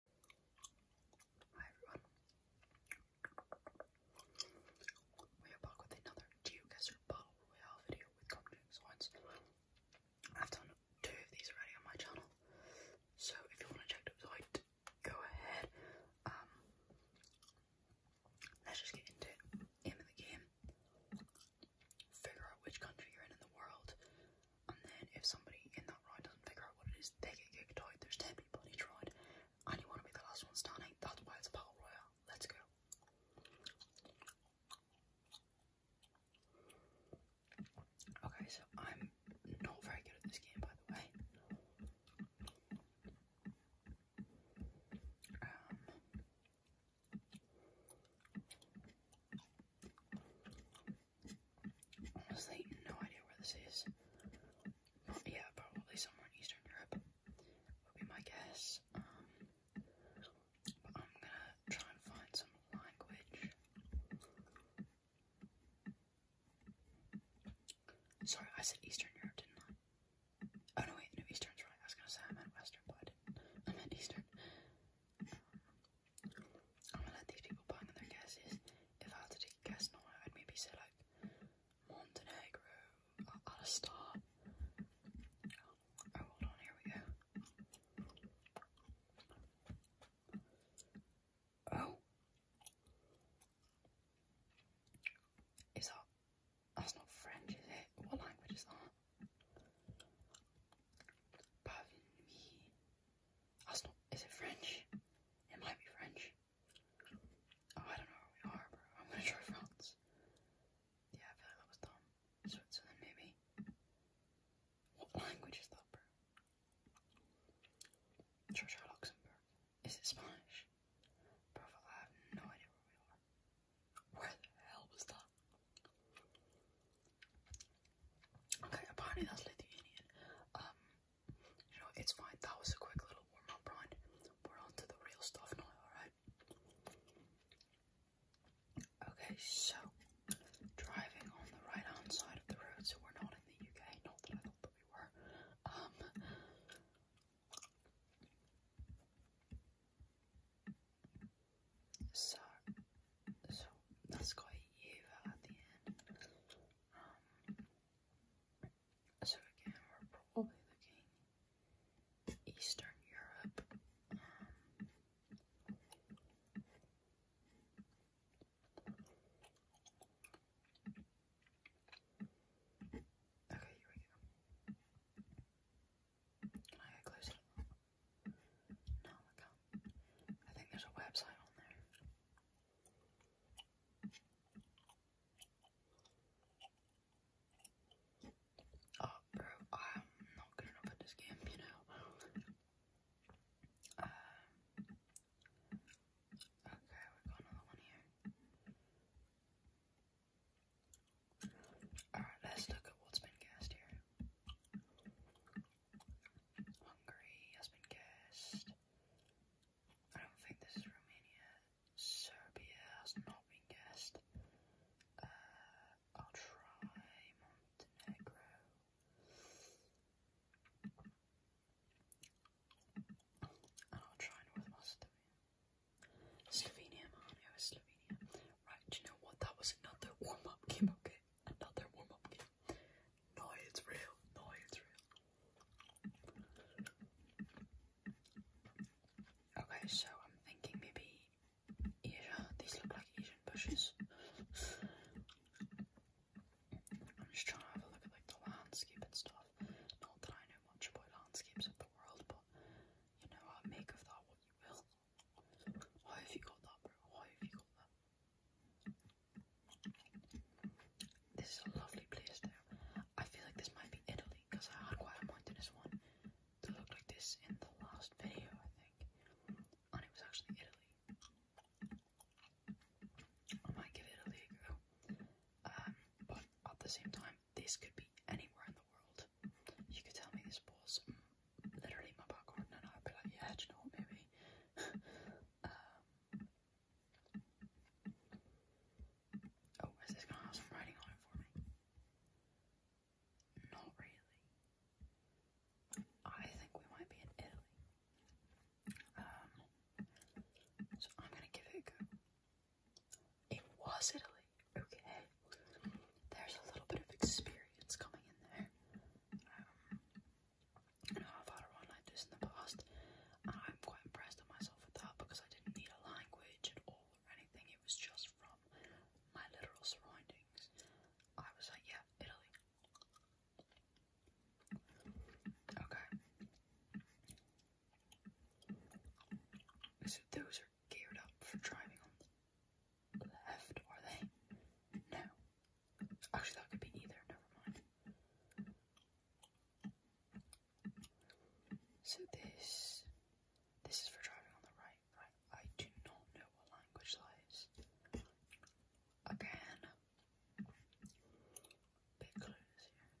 Hi everyone. We are back with another GeoGuessr Battle video with Company Science. I've done two of these already on my channel. So if you want to check those out, go ahead. Um, let's just get into it. Aim of the game. Figure out which country you're in in the world. And then if somebody in that ride doesn't figure out what it is, they get kicked out. There's 10 people in each ride. And you want to be the last one standing. That's why it's a battle royale. Let's go. Okay, so I'm not very good at this game, by the way. Um, Honestly, no idea where this is. yeah, probably somewhere in Eastern Europe would be my guess. Um, but I'm gonna try and find some language. Sorry, I said Eastern Europe, didn't I? Oh no, wait, no, Eastern's right. I was gonna say I meant Western, but I didn't. I meant Eastern. I'm gonna let these people put in their guesses. If I had to take a guess now, I'd maybe say like Montenegro at a start. Oh, hold on, here we go. Oh, is that that's not French, is it? What language is that? Pavie, that's is it French? It might be French. Oh, I don't know where we are, bro. I'm gonna try France. Yeah, I feel like that was dumb. Switzerland, maybe. What language is that, bro? Try, try Luxembourg. Is it Spanish? Bro, I have no idea where we are. Where the hell was that? Okay, apparently that's Lithuanian. Um, you know, it's fine. That was a quick little warm up round. We're on the real stuff now, alright? Okay, so driving on the right hand side of the road, so we're not in the UK, not that I thought we were. Um, so so that's got Eva at the end. Um, so again, we're probably looking Eastern Europe. Um, okay, here we go. I get closer? No, I think there's a website on there. Oh, bro, I'm not good enough at this game, you know. Uh, okay, we've got another one here. Alright, let's look at what's been cast here. Hungary has been guessed. I don't think this is Romania. Serbia has not been guessed. Uh, I'll try Montenegro. And I'll try North Macedonia. Slovenia, man, Slovenia. Right, do you know what? That was another warm-up game, okay? another warm up game. No, it's real. No, it's real. Okay, so I'm thinking maybe Asia. These look like Asian bushes. I'm just trying to have a look at like the landscape and stuff. Not that I know much about landscapes of the world, but you know, I make of that what you will. Why have you got that, bro? Why have you got that? This is a lovely place there. I feel like this might be Italy because I had quite a mountainous one that looked like this in the last video, I think. And it was actually Italy. I might give Italy a go. Um, but at the same time, this could be anywhere in the world. You could tell me this was literally my popcorn and I'd yeah, you know maybe. oh, is this gonna have some writing on it for me? Not really. I think we might be in Italy. Um, so I'm gonna give it a go. It was Italy, okay. There's a little bit of experience coming in there. Um, and I've had a run like this in the past, and I'm quite impressed with myself with that because I didn't need a language at all or anything. It was just from my literal surroundings. I was like, yeah, Italy. Okay. So those are geared up for driving on the left, are they? No. Actually, that could be either. Never mind. So this, this is for driving on the right, right? I do not know what language that is. Again, big clues here.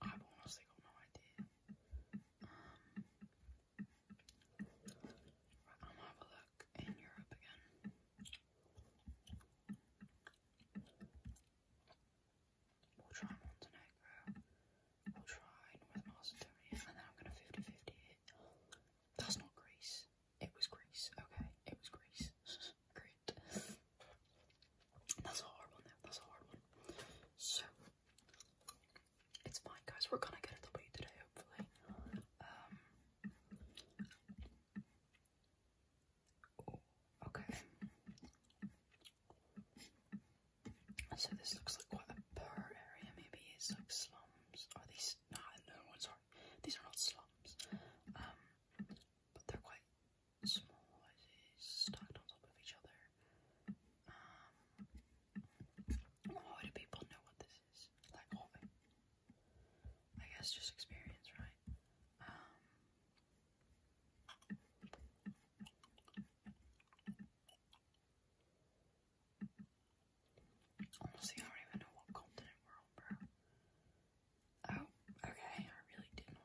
I've honestly got no idea. I'm um, gonna have a look in Europe again. We'll try Montenegro. We'll try North Macedonia, and then I'm gonna 50 That's not Greece. It was Greece. Okay, it was Greece. Great. That's a hard one That's a hard one. So it's fine guys, we're gonna get it a W today, hopefully. Um oh, okay. So this looks like quite a poor area, maybe it's like slums. Are these nah no sorry. These are not slums. Um but they're quite small houses stacked on top of each other. Um, how do people know what this is? Like, what? I guess just experience, right? Um, Honestly, I don't even know what continent we're on, bro. Oh, okay, I really did not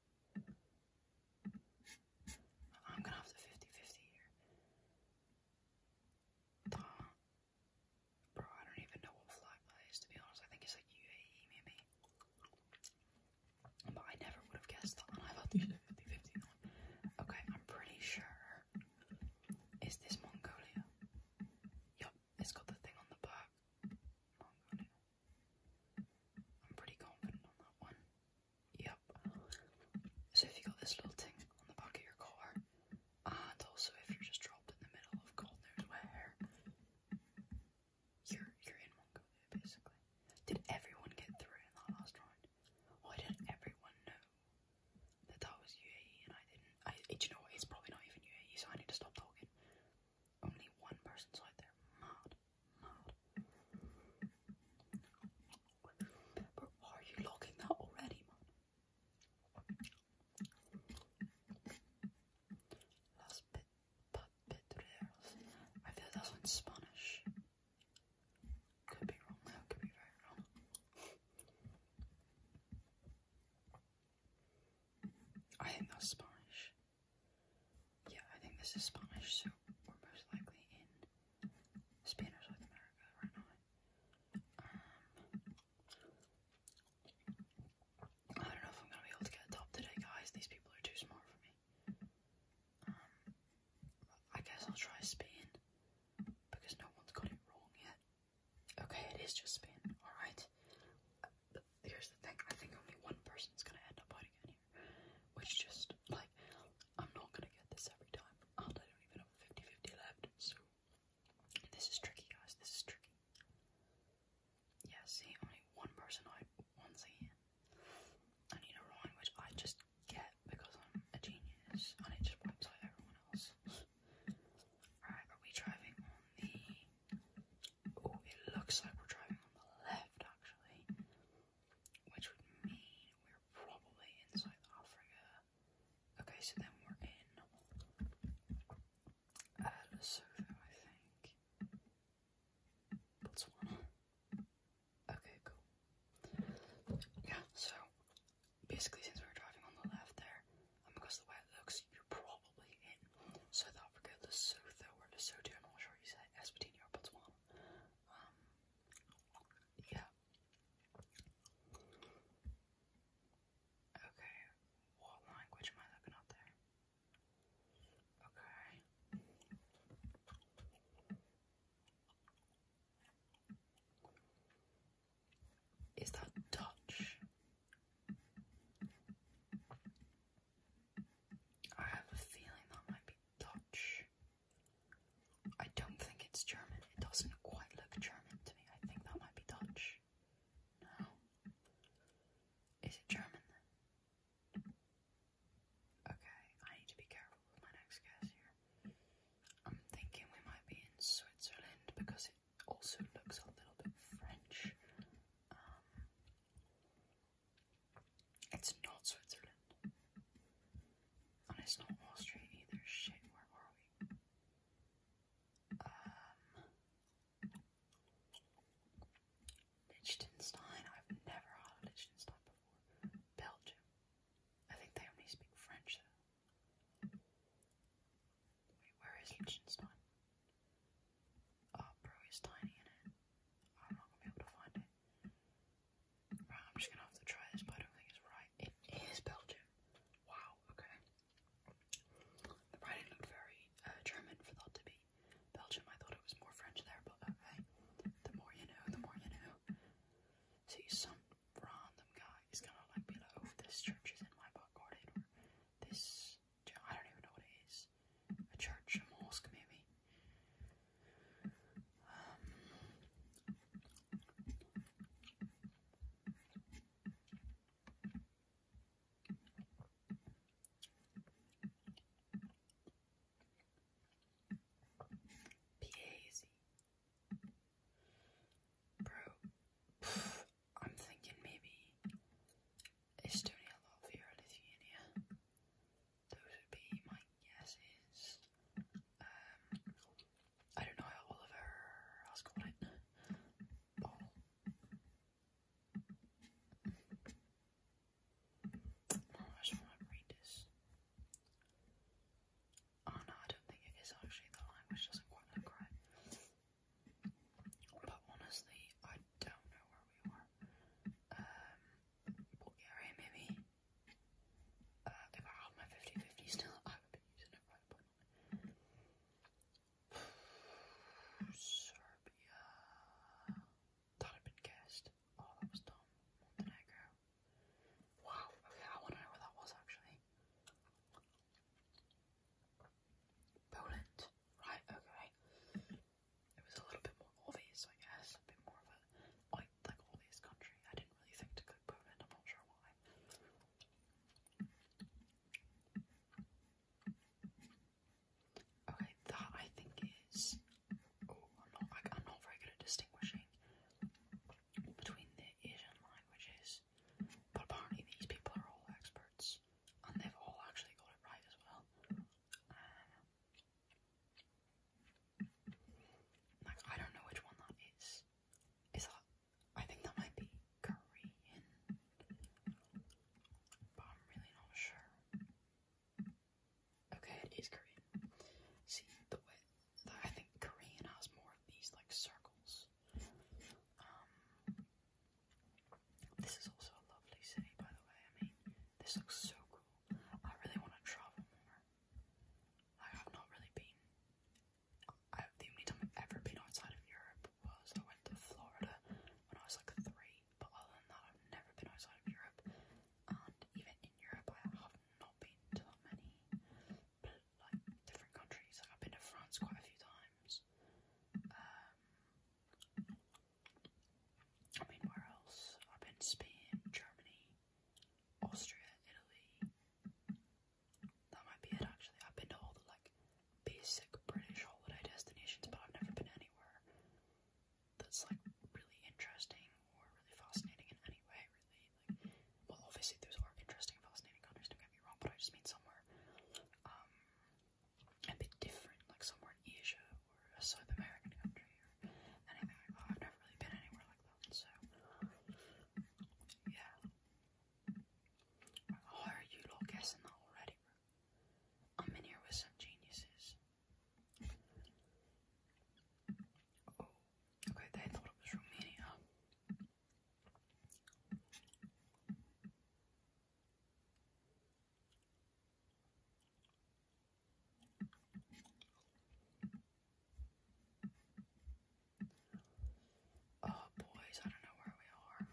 I'm gonna have to 50 50 here. Uh, bro, I don't even know what flag that is to be honest. I think it's like UAE maybe. But I never would have guessed that, and I've had these 50 50 now. Okay, I'm pretty sure. Is this Mongolia? Yup, it's got the thing on the back. Mongolia. I'm pretty confident on that one. Yep. So if you got this little thing on the back of your car, and also if you're just dropped in the middle of cold, You're you're in Mongolia basically. Did everyone get through in that last round? Why didn't everyone know that that was UAE and I didn't? I do you know what? It's probably not even UAE, so I need to stop talking. Only one person's out there. Mad. Mad. But are you logging that already, man? Las Patrias. I feel that's in Spanish. Could be wrong though, could be very wrong. I think that's Spanish. Yeah, I think this is Spanish, so we're most likely in Spain or South America right now. Um, I don't know if I'm going to be able to get a top today, guys. These people are too smart for me. Um, I guess I'll try Spain because no one's got it wrong yet. Okay, it is just Spain. Alright but here's the thing, I think only one person's gonna end up putting in here. Which just like I'm not gonna get this every time. And I don't even have 50-50 left, so this is tricky guys, this is tricky. Yeah, see, only one person I once again. I need a rhyme which I just get because I'm a genius and it just wipes out everyone else. Alright, are we driving on the Oh, it looks like we're driving on the left, actually, which would mean we're probably inside the Africa. Okay, so then we're in uh, Lesotho, I think. Botswana. Okay, cool. Yeah, so basically, since we were driving on the left there, because oh the way it looks, you're probably in South Africa, Lesotho, or Lesotho, I'm not sure you say Eswatini or Botswana. Um, yeah. Okay, what language am I looking at there? Okay. Is that Dutch? I have a feeling that might be Dutch. I don't think it's German. It doesn't quite look German to me. I think that might be Dutch. No. Is it German? Okay, I need to be careful with my next guess here. I'm thinking we might be in Switzerland because it also looks a little bit French. Um, it's not Switzerland. And it's not Austria either. Shit, where are we? Um, Liechtenstein. I've never heard Liechtenstein before. Belgium. I think they only speak French Wait, where is Liechtenstein? Oh, bro, it's tiny, isn't it? I'm not gonna be able to find it. Right, I'm just gonna have to try this, but I don't think it's right. It is Belgium. Wow, okay. The writing looked very uh, German for that to be Belgium. I thought it was more French there, but okay. The more you know, the more you know. See, some random guy is gonna like be like, oh, this church is in my back garden, or this I don't even know what it is. A church, a mosque, maybe. Um, Bro, I'm thinking maybe Estonia, Latvia, or Lithuania. Those would be my guesses. Um, I don't know how Oliver has got it. I just want to read this. Oh no, I don't think it is actually. The language doesn't quite look right. But honestly, I don't know where we are. Um, Bulgaria maybe. Uh, if I had my 50-50 still, I would be using it right but Serbia. That had been guessed. Oh, that was dumb. Montenegro. Wow, okay, I want to know where that was actually. Poland, right? Okay, it was a little bit more obvious, I guess. A bit more of a like, like obvious country. I didn't really think to go Poland. I'm not sure why. Okay, that I think is. Oh, I'm not. I, I'm not very good at distinguishing between the Asian languages, but apparently these people are all experts and um, they've all actually got it right as well. Um, like I don't know which one that is. Is that? I think that might be Korean, but I'm really not sure. Okay, it is Korean. See the way that I think Korean has more of these like circles. Um, this is also a lovely city, by the way. I mean, this looks so cool. I really want to travel more. Like, I've not really been. I, the only time I've ever been outside of Europe was I went to Florida when I was like three, but other than that, I've never been outside of Europe. And even in Europe, I have not been to that many like different countries. Like I've been to France quite a few times. Um, I mean, where else? I've been to Spain, Germany, Austria, Italy. That might be it actually. I've been to all the like basic British holiday destinations, but I've never been anywhere that's like really interesting or really fascinating in any way, really. Like, well, obviously those are interesting, fascinating countries. Don't get me wrong, but I just mean somewhere somewhere um, a bit different, like somewhere in Asia or a South American country or anything like that. I've never really been anywhere like that, so yeah. How are you lot guessing that already? I'm in here with some geniuses. Oh, okay, they thought it was Romania. Oh, boys, I don't know where we are.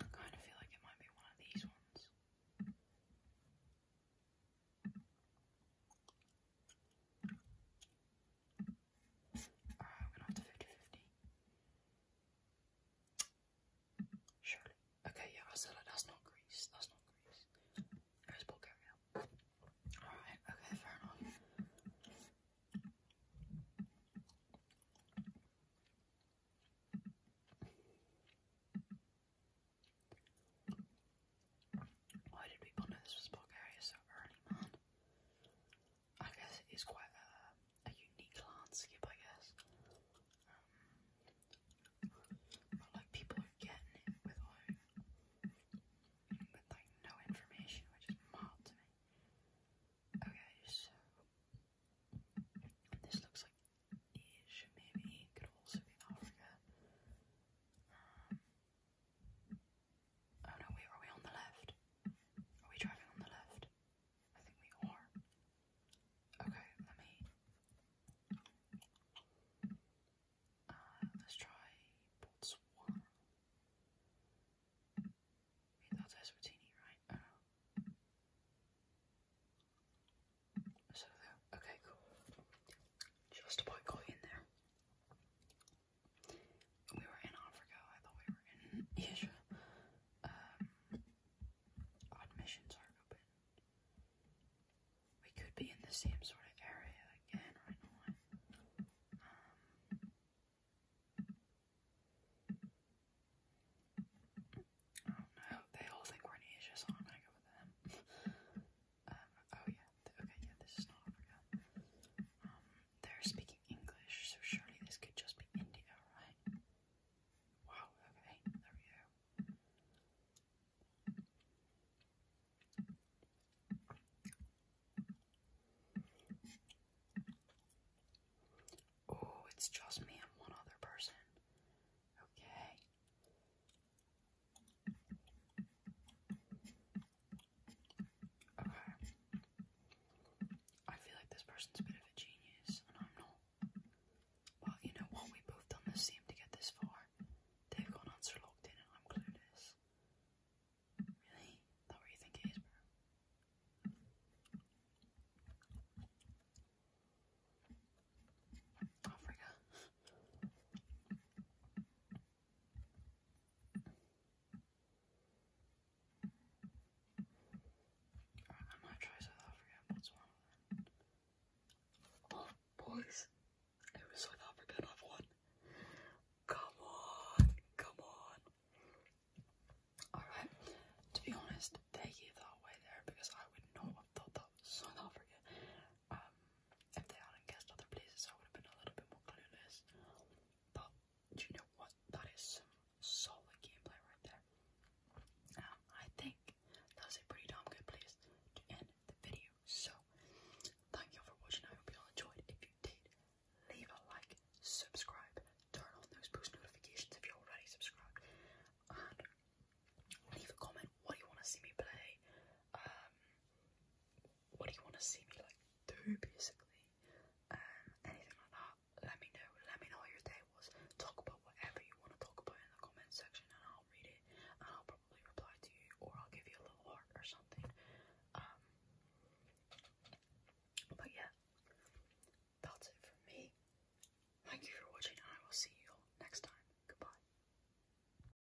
I kind of feel like it might be one of these ones. Uh, I'm gonna have to 50 Surely. Okay, yeah, I that's not Greece. That's not Greece. Where's Bulgaria? Alright, okay, fair enough. Why did people know this was Bulgaria so early, man? I guess it is quite a, unique landscape, I guess. Um, but like people are getting it with like no information, which is mild to me. Okay, so this looks like Asia, maybe it could Africa. Um, Oh no, wait, are we on the left? Are we driving on the left? I think we are. Okay, let me. Uh, let's try that's Eswatini, right? Oh, okay, cool. Just about got in there. We were in Africa, I thought we were in Asia. admissions um, are open. We could be in the same sort of area again right now. Um, I don't know. They all think we're in Asia, so I'm gonna go with them oh yeah, okay, yeah, this is not Africa. Um, they're speaking English, so surely this could just be India, right? Wow, okay, there we go. Oh, it's just me and one other person. Okay. Okay. I feel like this person's a bit of a genius, and I'm not. But you know what? We've both done this team to get this far. They've got an answer locked in, and I'm clueless. Really? Not what you think bro? Oh, I might try South Africa and Botswana Oh, boys, it was South Africa I've won. Come on, come on. Alright, to be honest, they gave that away there because I would not have thought that South Africa. Um, if they hadn't guessed other places, I would have been a little bit more clueless. But do you know what? That is solid gameplay right there. Um, I think that's a pretty damn good place to end the video. So, thank you all for watching. I hope you all enjoyed. If you did, leave a like, subscribe, turn on those post notifications if you're already subscribed, and leave a comment. What do you want to see me play? Um, what do you want to see me like do basically um anything like that let me know let me know how your day was talk about whatever you want to talk about in the comment section and I'll read it and I'll probably reply to you or I'll give you a little heart or something um but yeah that's it from me thank you for watching and I will see you all next time goodbye